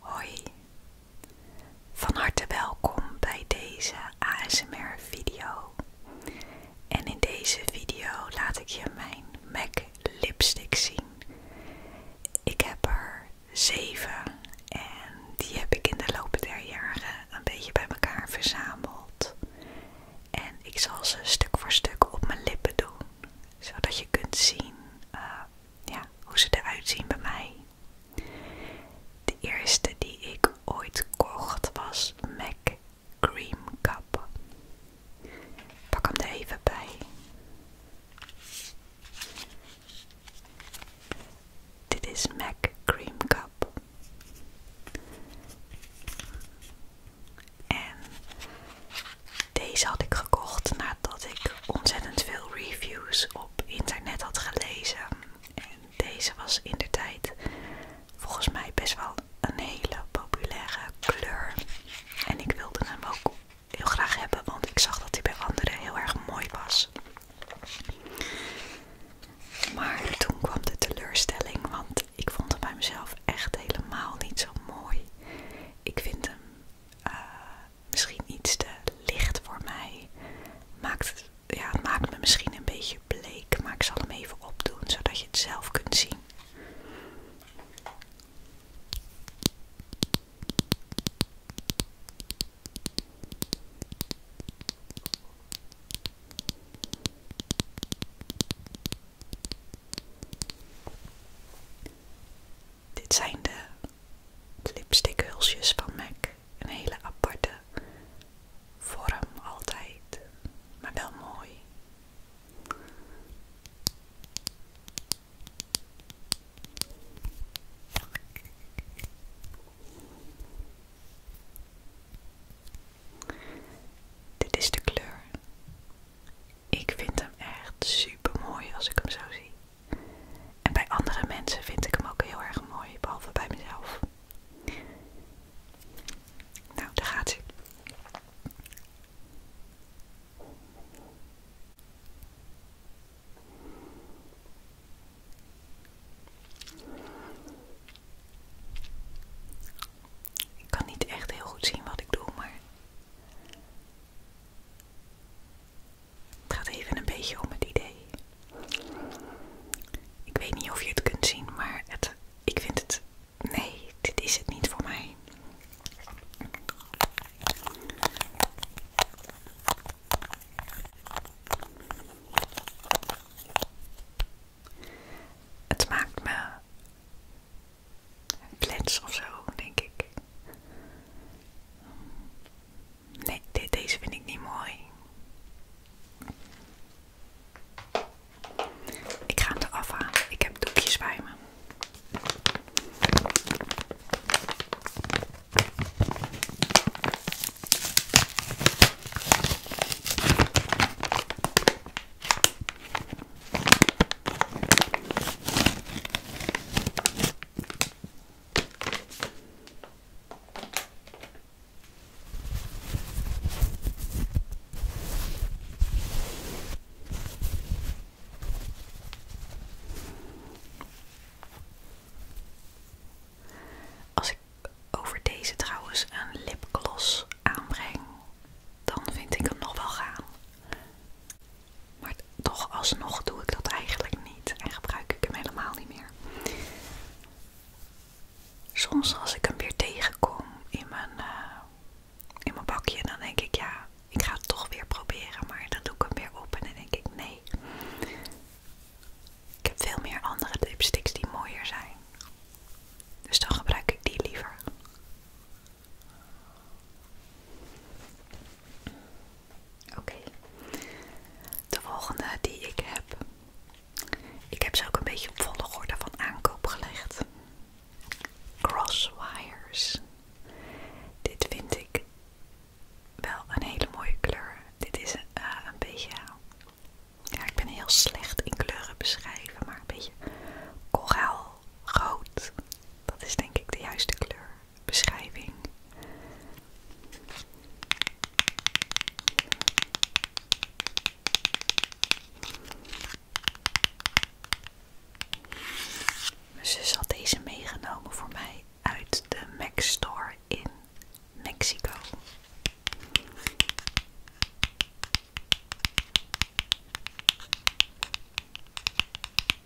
Hoi, van harte welkom bij deze ASMR video. En in deze video laat ik je mijn MAC lipstick zien. Ik heb er zeven en die heb ik in de loop der jaren een beetje bij elkaar verzameld. En ik zal ze stuk voor stuk op mijn lippen doen, zodat je kunt zien eh, ja, hoe ze eruit zien bij mij. De eerste die ik ooit kocht was MAC Cream Cup. Pak hem er even bij. Dit is MAC Cream Cup. En deze had ik gekocht nadat ik ontzettend veel reviews op internet had gelezen. En deze was in de tijd volgens mij best wel een hele populaire kleur. En ik wilde hem ook heel graag hebben, want ik zag dat hij bij anderen heel erg mooi was. Maar toen kwam de teleurstelling, want ik vond hem bij mezelf echt helemaal niet zo mooi. Ik vind hem uh, misschien iets te licht voor mij. Maakt ja, het maakt me misschien een beetje bleek, maar ik zal hem even opdoen zodat je het zelf kunt zien. Dit zijn de lipstickhulsjes van MAC. Een hele aparte vorm altijd, maar wel mooi. Dit is de kleur. Ik vind hem echt super mooi als ik hem zo zie. En bij andere mensen vind ik hem ook heel erg mooi, behalve bij mezelf. Nou, daar gaat ie. Ik kan niet echt heel goed zien wat ik doe, maar het gaat even een beetje om het idee. Ik weet niet of je het kunt zien, maar ik vind het. Nee, dit is het niet voor mij. Het maakt me flats of zo, denk ik. Nee, deze vind ik niet mooi. Ik ga hem eraf halen. Ik heb doekjes bij me. Als ik over deze trouwens een lipgloss aanbreng, dan vind ik hem nog wel gaan. Maar toch alsnog doe ik dat eigenlijk niet en gebruik ik hem helemaal niet meer. Soms als ik hem weer tegenkom in mijn, eh, in mijn bakje, dan denk ik ja, ik ga het toch weer proberen. Maar dan doe ik hem weer op en dan denk ik nee. Ik heb veel meer andere lipsticks die mooier zijn. Dus dan gebruik ik die liever. Oké. De volgende die ik heb. Ik heb ze ook een beetje op volgorde van aankoop gelegd. Crosswires. Dit vind ik wel een hele mooie kleur. Dit is eh, een, beetje. Ja, ik ben heel slecht in kleuren beschrijven, maar een beetje koraalrood dat is denk ik de juiste kleur Mijn zus had deze meegenomen voor mij uit de Mac Store in Mexico.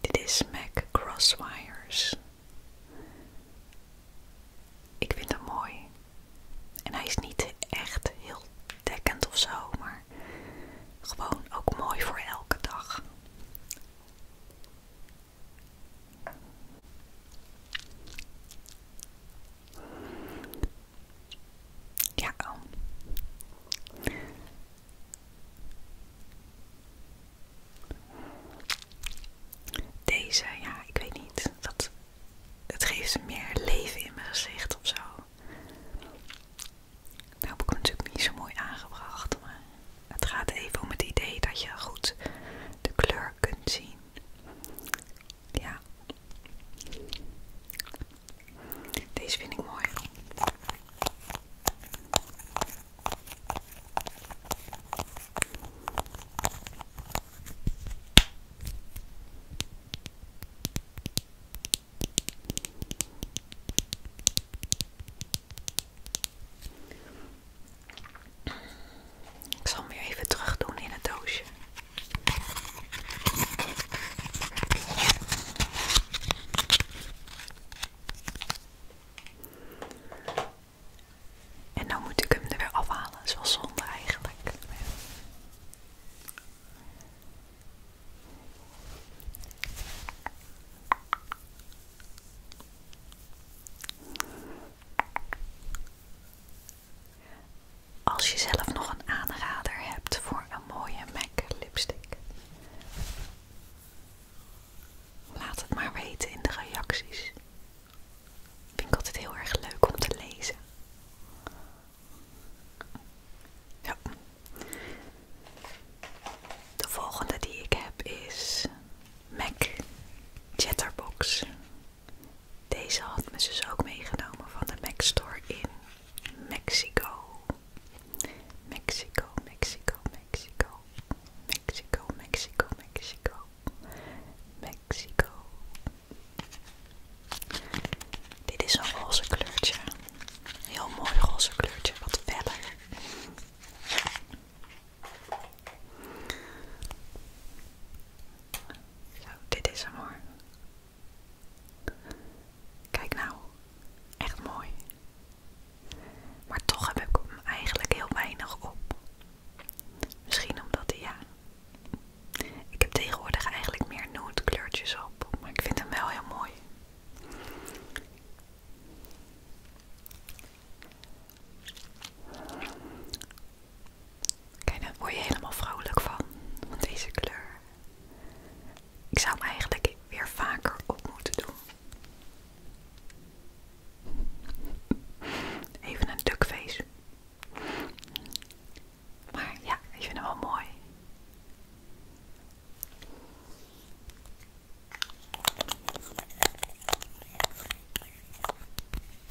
Dit is MAC Crosswires. Ik vind hem mooi. En hij is niet echt heel dekkend of zo, maar gewoon ook mooi voor elke dag. Ja. Deze, ja, ik weet niet. Dat, het geeft meer leven in mijn gezicht of zo. Nou heb ik hem natuurlijk niet zo mooi aangebracht, maar het gaat even om het idee dat je goed de kleur kunt zien. Ja. Deze vind ik mooi. Ik zal hem weer even terug doen in het doosje. En dan moet ik hem er weer afhalen. zoals is zonde eigenlijk. Als je zelf nog een aanrader hebt voor een mooie MAC lipstick, laat het maar weten in de reacties. Vind het altijd heel erg leuk om te lezen. De volgende die ik heb is MAC Chatterbox. Deze had me ze ook meegenomen van de Mac Store in Mexico. Mexico, Mexico, Mexico. Mexico, Mexico, Mexico. Mexico. Dit is een roze kleurtje. Heel mooi roze kleurtje, wat feller. Zo, dit is hem hoor. Kijk nou, echt mooi. Maar toch heb ik hem eigenlijk heel weinig op. Misschien omdat hij ja. Ik heb tegenwoordig eigenlijk meer nude kleurtjes op, maar ik vind hem wel heel mooi. Kijk, daar word je helemaal vrolijk van, van deze kleur. Ik zou hem eigenlijk weer vaker op moeten doen. Even een duckface. Maar ja, ik vind hem wel mooi.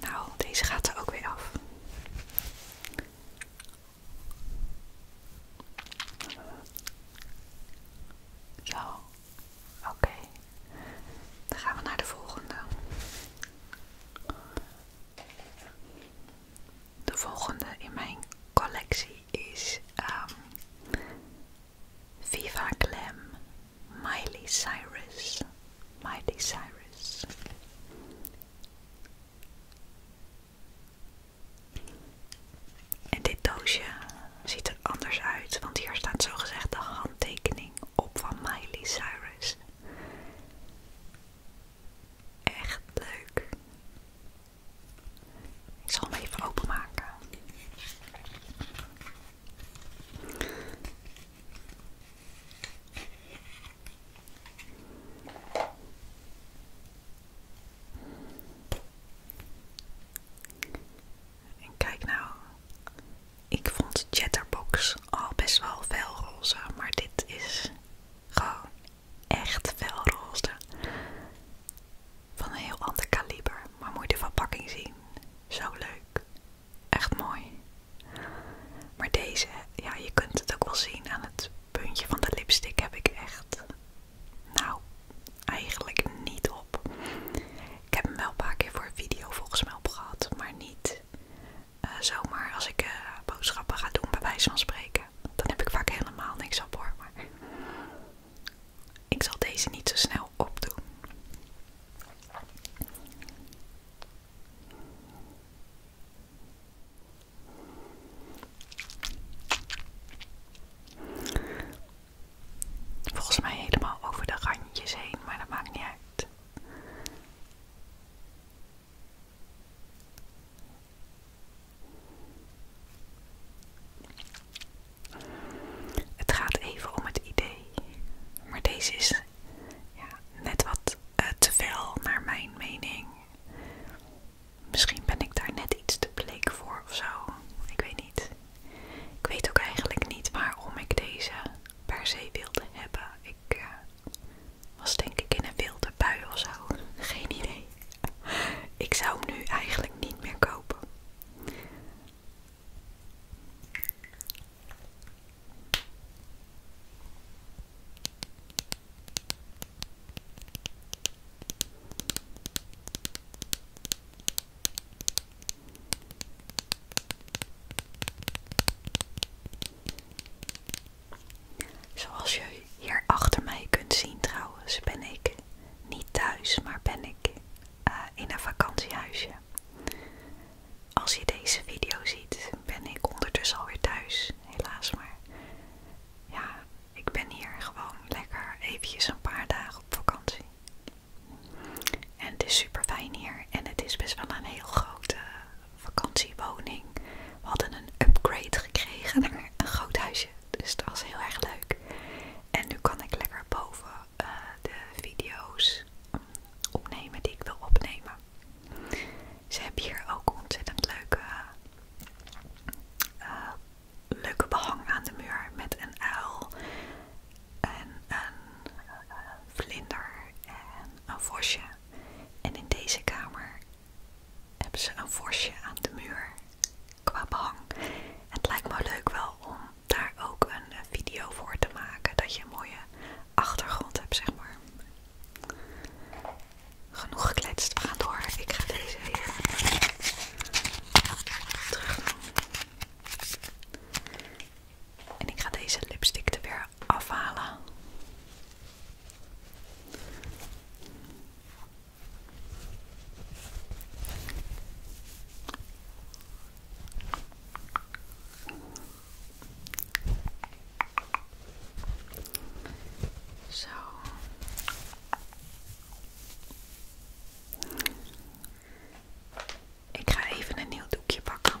Nou, deze gaat er ook weer af. Zo, oké. Dan gaan we naar de volgende. De volgende in mijn collectie is um, Viva Glam Miley Cyrus. Miley Cyrus. En dit doosje ziet er anders uit, want hier staat zogezegd de handtekening op van Miley Cyrus. Echt leuk. Ik zal hem even openmaken. En kijk nou, ik vond Chatterbox al best wel fel roze, maar dit is gewoon echt felroze Van een heel ander kaliber, maar moet je de verpakking zien. Zo leuk. Echt mooi. Maar deze, ja, je kunt het ook wel zien aan het puntje van de lipstick heb ik echt, nou, eigenlijk niet op. Ik heb hem wel een paar keer voor een video volgens mij opgehad, maar niet eh, zomaar als ik eh, boodschappen ga doen bij wijze van spreken. Dan heb ik vaak helemaal niks op hoor, maar ik zal deze niet zo snel opdoen. Volgens mij helemaal over de randjes heen, maar dat maakt niet uit. Het gaat even om het idee, maar deze is ja, net wat eh, te veel naar mijn mening. Misschien ben ik daar net iets te bleek voor ofzo. Ik weet niet. Ik weet ook eigenlijk niet waarom ik deze per se wilde hebben. Ik eh, was denk ik in een wilde bui of zo. Geen idee. Ik zou hem nu eigenlijk niet meer kopen. Zoals je hier achter mij kunt zien trouwens, ben ik niet thuis, maar ben ik eh, in een vakantiehuisje. Als je deze video ziet, ben ik ondertussen alweer thuis, helaas maar. Ja, ik ben hier gewoon lekker eventjes een paar dagen op vakantie. En het is super fijn hier en het is best wel een heel grote vakantiewoning. We hadden een upgrade gekregen naar een groot huisje, dus dat was heel erg leuk. En nu kan ik lekker boven eh, de video's opnemen die ik wil opnemen. Ze hebben hier ook ontzettend leuke, eh, leuke behang aan de muur met een uil en een eh, vlinder en een vosje. En in deze kamer hebben ze een vosje aan de muur qua behang. Het lijkt me leuk wel om daar ook een eh, video voor te maken. Dat je een mooie achtergrond hebt, zeg maar. Genoeg gekletst, we gaan door. Ik ga deze weer terug En ik ga deze lipstick er weer afhalen. Ik ga even een nieuw doekje pakken.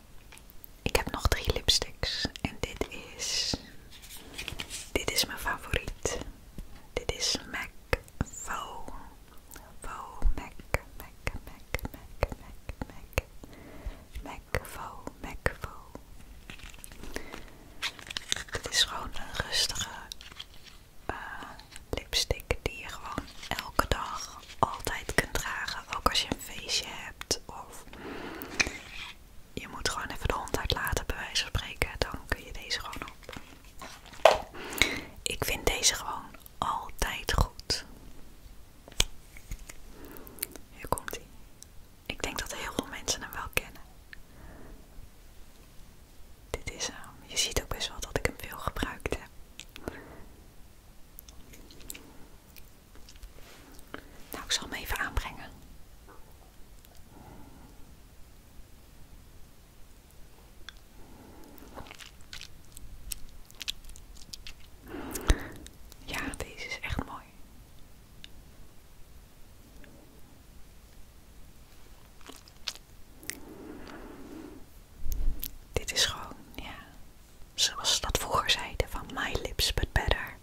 Ik heb nog drie lipsticks en dit is, dit is mijn favoriet. Dit is MAC Faux, Faux MAC, MAC, MAC, MAC, MAC, MAC, MAC MAC Dit is gewoon een rustige eh, lipstick die je gewoon elke dag altijd kunt dragen, ook als je een feestje hebt of je moet gewoon even de hond uitlaten bij wijze van spreken, dan kun je deze gewoon op. Ik vind deze gewoon altijd goed. Hier komt hij. Ik denk dat heel veel mensen hem wel kennen. Dit is hem. Je ziet ook best wel dat ik hem veel gebruikt heb. Nou, ik zal hem even aanbrengen. Ja, deze is echt mooi. Dit is gewoon, ja, Zoals dat vroeger zeiden van My Lips But Better.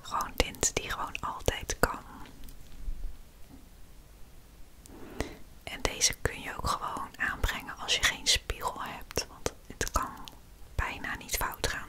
Gewoon tint die gewoon altijd kan. En deze kun je ook gewoon aanbrengen als je geen spiegel hebt. Want het kan bijna niet fout gaan.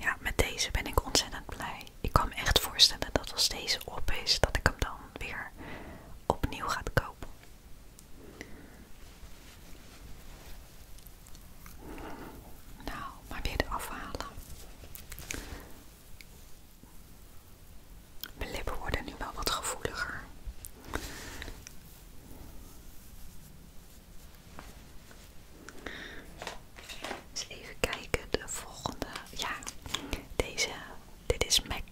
Ja, met deze ben ik ontzettend blij. Ik kan me echt voorstellen dat als deze op is, dat ik hem dan weer opnieuw ga kopen. Nou, maar weer de afhalen. Mijn lippen worden nu wel wat gevoeliger even kijken, de volgende. Ja, deze. Dit is Mac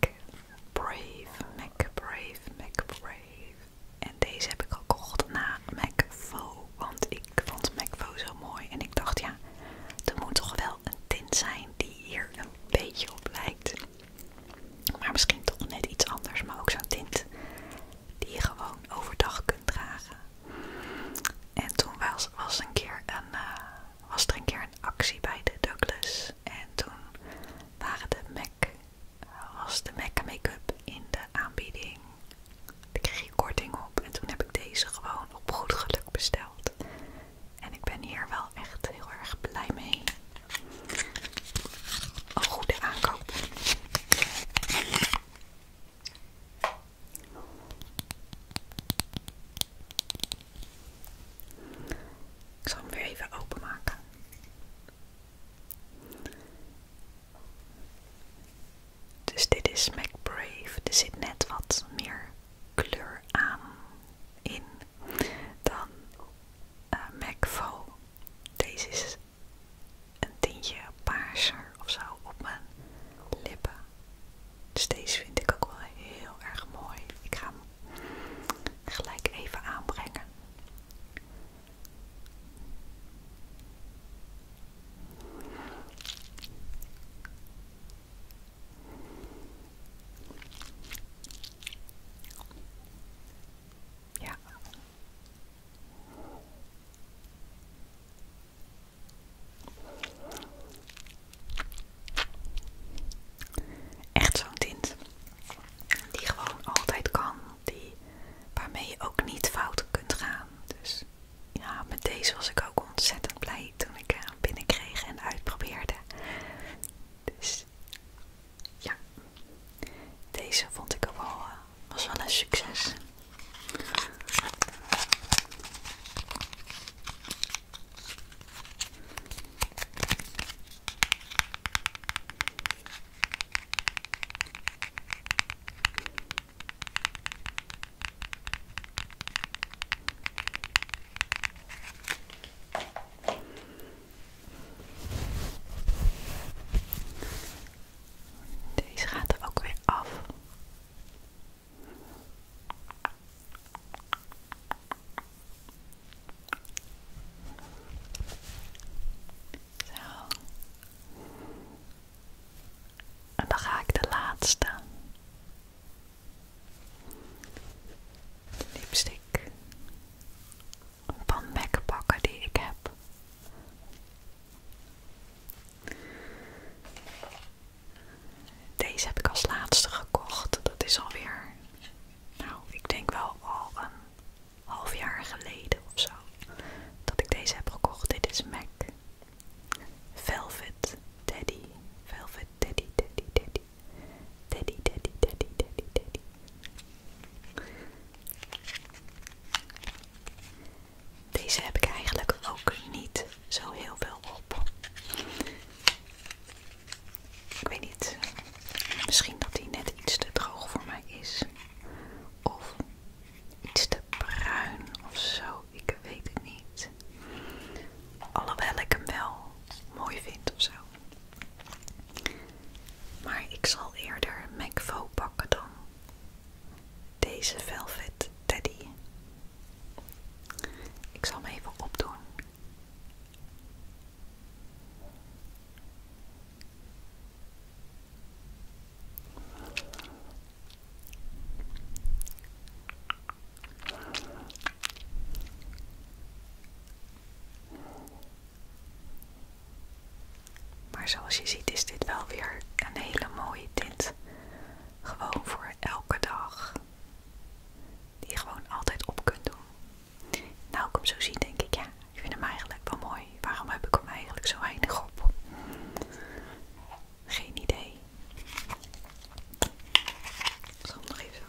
Brave. Mac Brave, Mac Brave. En deze heb ik gekocht na Mac MacVo. Want ik vond Mac MacVo zo mooi. En ik dacht, ja, er moet toch wel een tint zijn die hier een beetje op lijkt. Maar misschien toch net iets anders. Maar ook zo'n tint die je gewoon overdag kunt dragen. En toen was, een eh, was er een keer een actie bij de Douglas. En toen waren de MAC, was de MAC make-up in de aanbieding. Daar kreeg je korting op. En toen heb ik deze gewoon op goed geluk besteld. En ik ben hier wel echt heel erg blij mee. Een goede aankoop. Ik zal hem weer even openmaken. Dus dit is MacBrave. Er zit net wat meer kleur aan in dan eh, Mac Deze is een tintje paarser of zo op mijn lippen. Dus deze vind ik ook wel heel erg mooi. Ik ga hem gelijk even aanbrengen. Ja. Echt zo'n tint die gewoon altijd kan, die, waarmee je ook niet fout kunt gaan. Dus ja, met deze was ik ook ontzettend blij toen ik hem binnenkreeg en uitprobeerde. Dus ja, deze vond ik ook wel eh, was wel een succes. Deze gaat er ook weer af. Zo. En dan ga ik de laatste. lipstik van Mac pakken die ik heb. Deze heb ik als laatste gekocht. Dat is alweer, nou, ik denk wel al een half jaar geleden of zo. Dat ik deze heb gekocht. Dit is MAC Velvet Teddy. Velvet Teddy, Teddy, Teddy. Teddy, Teddy, Teddy, Teddy, Teddy. Deze heb ik eigenlijk ook niet zo heel veel op. Ik weet niet. Misschien dat die net iets te droog voor mij is. Of iets te bruin of zo. Ik weet het niet. Alhoewel ik hem wel mooi vind of zo. Maar ik zal eerder McVo pakken dan deze Velvet Teddy. Ik zal me even opdoen. Maar zoals je ziet is dit wel weer een hele mooie tint. Gewoon voor elke dag. Die je gewoon altijd op kunt doen. Nou, ik hem zo zien denk ik, ja, ik vind hem eigenlijk wel mooi. Waarom heb ik hem eigenlijk zo weinig op? Geen idee. Ik even zo.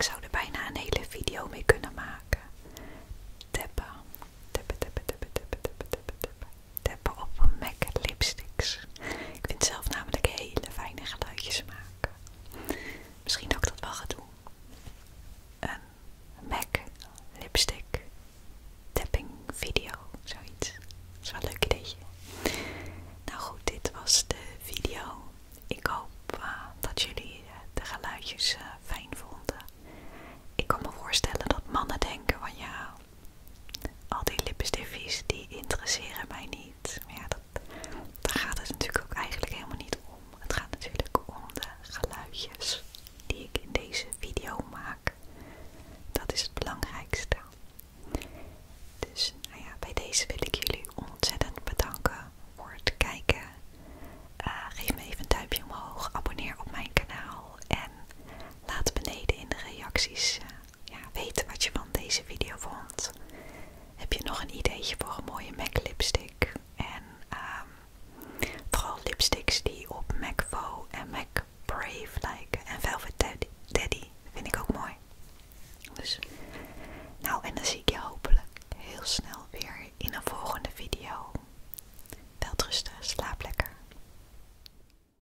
Ik zou er bijna een hele video mee kunnen maken teppen op MAC lipsticks. Ik vind zelf namelijk hele fijne geluidjes maken. Misschien dat ik dat wel ga doen. Een MAC lipstick tapping video, zoiets. Dat is wel een leuk ideetje. Nou goed, dit was de video. Ik hoop eh, dat jullie eh, de geluidjes eh, fijn vonden. Ik kan me voorstellen dat mannen denken van ja, al die lippenstiftjes die interesseren mij niet. Maar ja, dat, daar gaat het natuurlijk ook eigenlijk helemaal niet om. Het gaat natuurlijk om de geluidjes die ik in deze video maak. Dat is het belangrijkste. Dus nou ja, bij deze wil ik jullie ontzettend bedanken voor het kijken. Eh, geef me even een duimpje omhoog, abonneer op mijn kanaal en laat beneden in de reacties eh, ja, weten wat je van deze video vond. Heb je nog een ideetje voor een mooie MAC lipstick? En ehm, vooral lipsticks die op MAC Faux en MAC Brave lijken. En Velvet Daddy, vind ik ook mooi. Dus, nou en dan zie ik je hopelijk heel snel weer in een volgende video. rustig, slaap lekker.